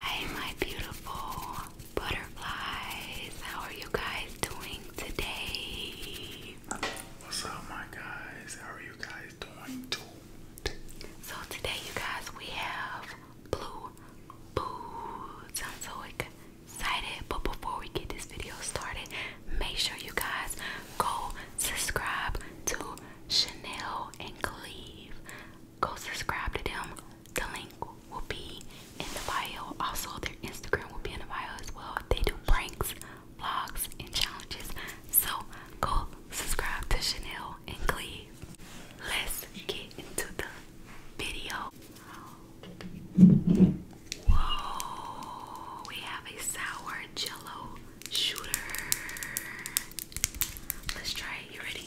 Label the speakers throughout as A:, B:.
A: Hi, my beautiful butterflies. How are you guys doing today? What's up, my guys? How are you guys doing too? So, today, you guys, we have Blue Boots. I'm so excited. But before we get this video started, make sure you guys go subscribe to Chanel and Cleve go subscribe to them. The link will be in the bio. Also, their Instagram will be in the bio as well. They do pranks, vlogs, and challenges. So go subscribe to Chanel and Cleve. Let's get into the video. Whoa, we have a sour jello shooter. Let's try it. You ready?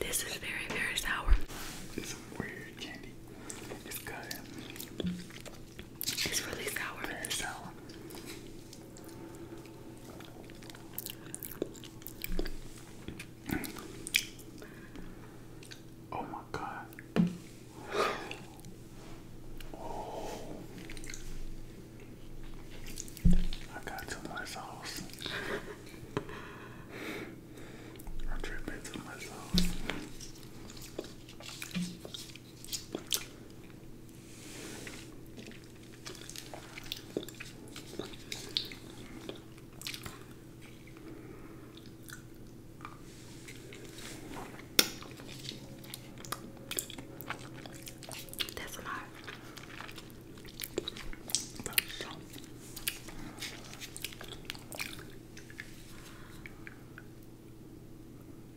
A: This is very, very sour. It's some weird candy. It's good. It's really sour. Very sour. Oh my god. Oh. I got too much I'm tripping too much that's a lot. But so.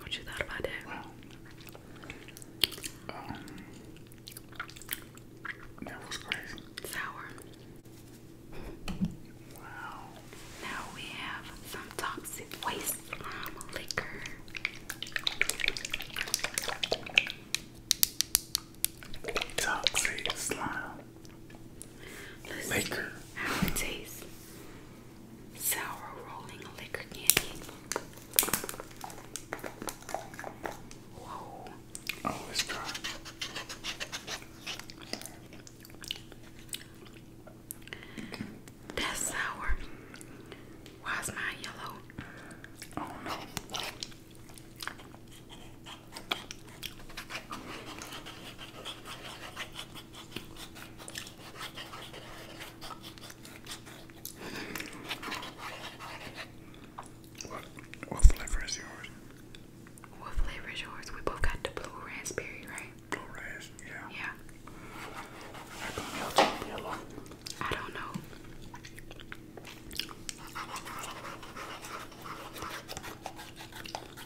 A: what you thought about that? Um, that was crazy. Sour. Wow. Now we have some toxic waste liquor. Toxic slime let Liquor. how it tastes. Sour rolling liquor candy. Whoa. Oh, it's dry. That's sour. Why's mine yellow? Oh no. What flavor is yours? What flavor is yours? We both got the blue raspberry, right? Blue raspberry, yeah. Yeah. I don't know.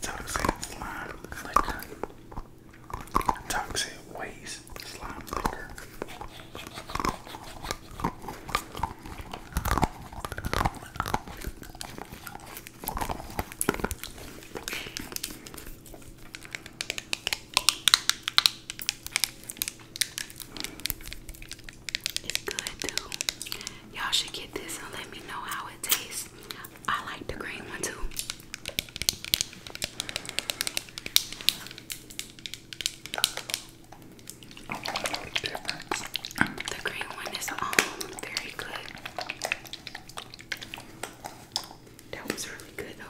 A: Toxic slime liquor. Toxic waste slime liquor. It's good too. Y'all should get this and let me know how it tastes. I like the green one too. The green one is um very good. That was really good though.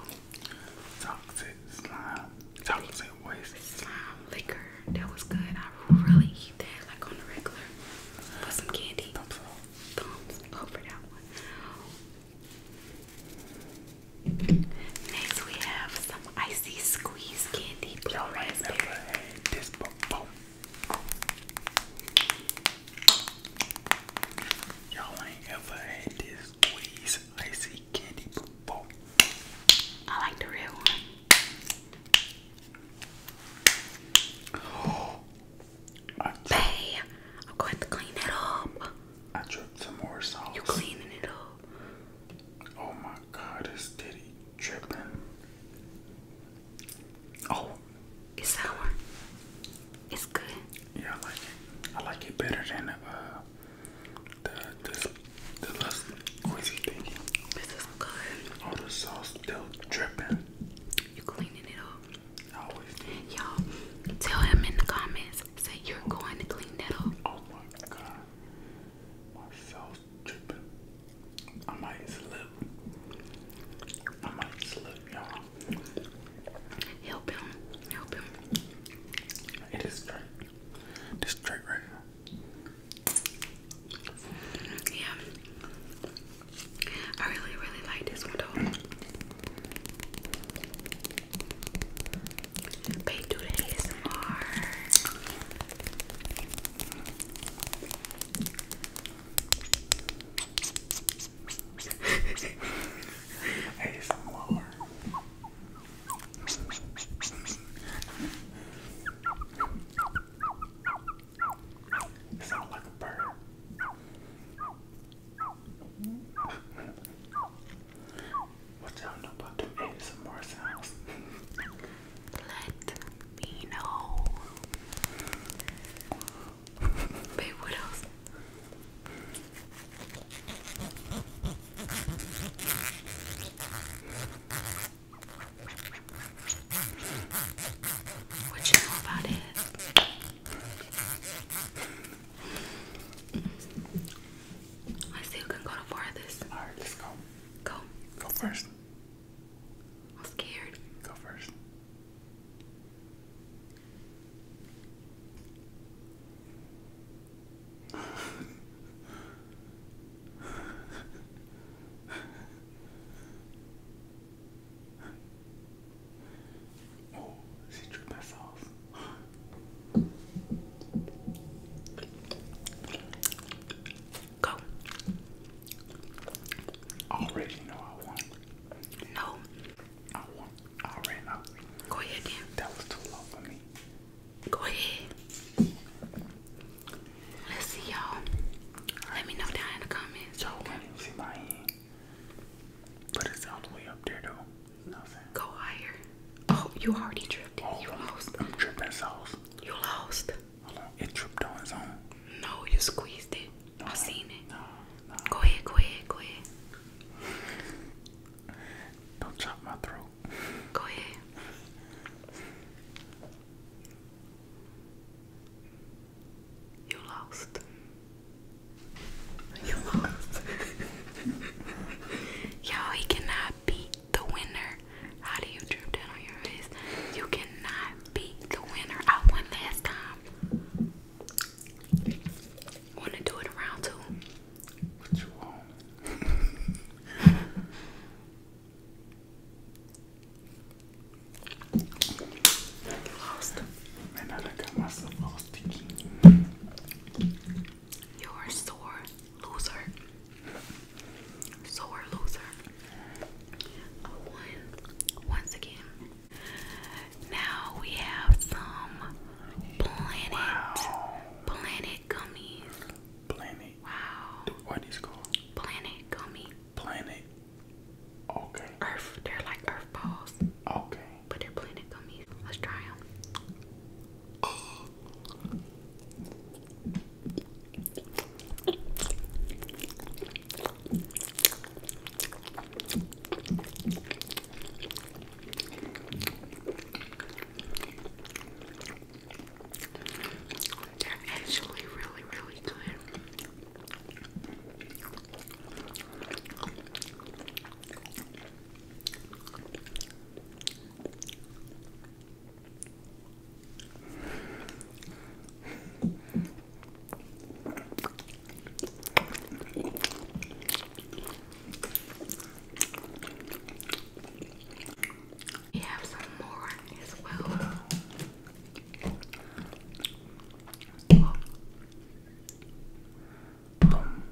A: Toxic slime. Toxic waste. Slime liquor. That was good. I really eat that like on the regular. For some candy. Thumbs up. for that one. Next we have some icy squeeze candy. Y'all ain't ever had this squeeze icy candy before. I like the real one. Oh, I am going to clean it up. I dripped some more sauce. You cleaning it up? Oh my God, it's titty. Tripping. Oh. It's sour. It's good. Yeah, I like it. I like it better than uh, the the the less greasy thing. This is good. All oh, the sauce still dripping. You cleaning it up. Y'all, tell him in the comments. Say you're going to clean that up. Oh my god. My soul I might slip. I might slip, y'all. Help him. Help him. It is straight. This straight right now. Yeah. I really, really like this one though. They do the ASMR. ASMR. Sound like a bird. what y'all know about them ASMR sounds? let me know. Babe, what else? What you know about it? I still can go to far this. Alright, let's go. Go. Go first. I'm scared. Go first. oh, she drew myself. Go. already know I won. No. I won. already know. Go ahead then. That was too long for me. Go ahead. Let's see y'all. Let me know down in the comments. you see my hand. But it's all the way up there though. Nothing. Go higher. Oh, you already tripped. Oh, you I'm, lost. I'm tripping sauce. You lost. Hold on. It tripped on its own. No, you squeezed it. No, I seen it. No, no. Go ahead, go ahead, go ahead. Don't chop my throat. Go ahead. You lost. You lost. Yo, he cannot beat the winner. How do you drip down on your face? You cannot beat the winner. I won last time. Want to do it around two? What you want? Lost. Man, I done got myself all sticky. You're a sore loser. Sore loser. once again. Now we have some planet, planet gummies. Wow. what are these called? Planet gummy. Planet. Okay. Earth. They're like earth balls. Okay but they're planet gummies. Let's try them. They're actually really, really good. We have some more as well. Oh. Boom.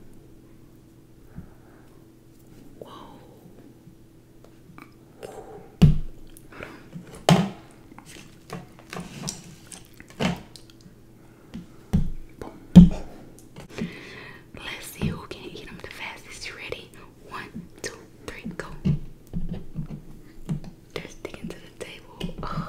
A: Let's see who can eat them the fastest. You ready? One, two, three, go. They're sticking to the table.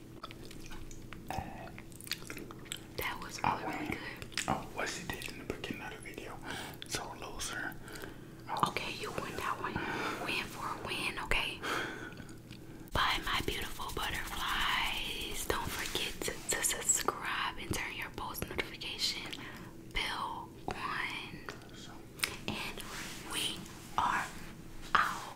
A: that was really, good. Oh, what's she did in the beginning of the video. So loser. Oh. Okay, you win that one. Win for win, okay? Bye, my beautiful butterflies. Don't forget to subscribe and turn your post notification bell on. And we are out.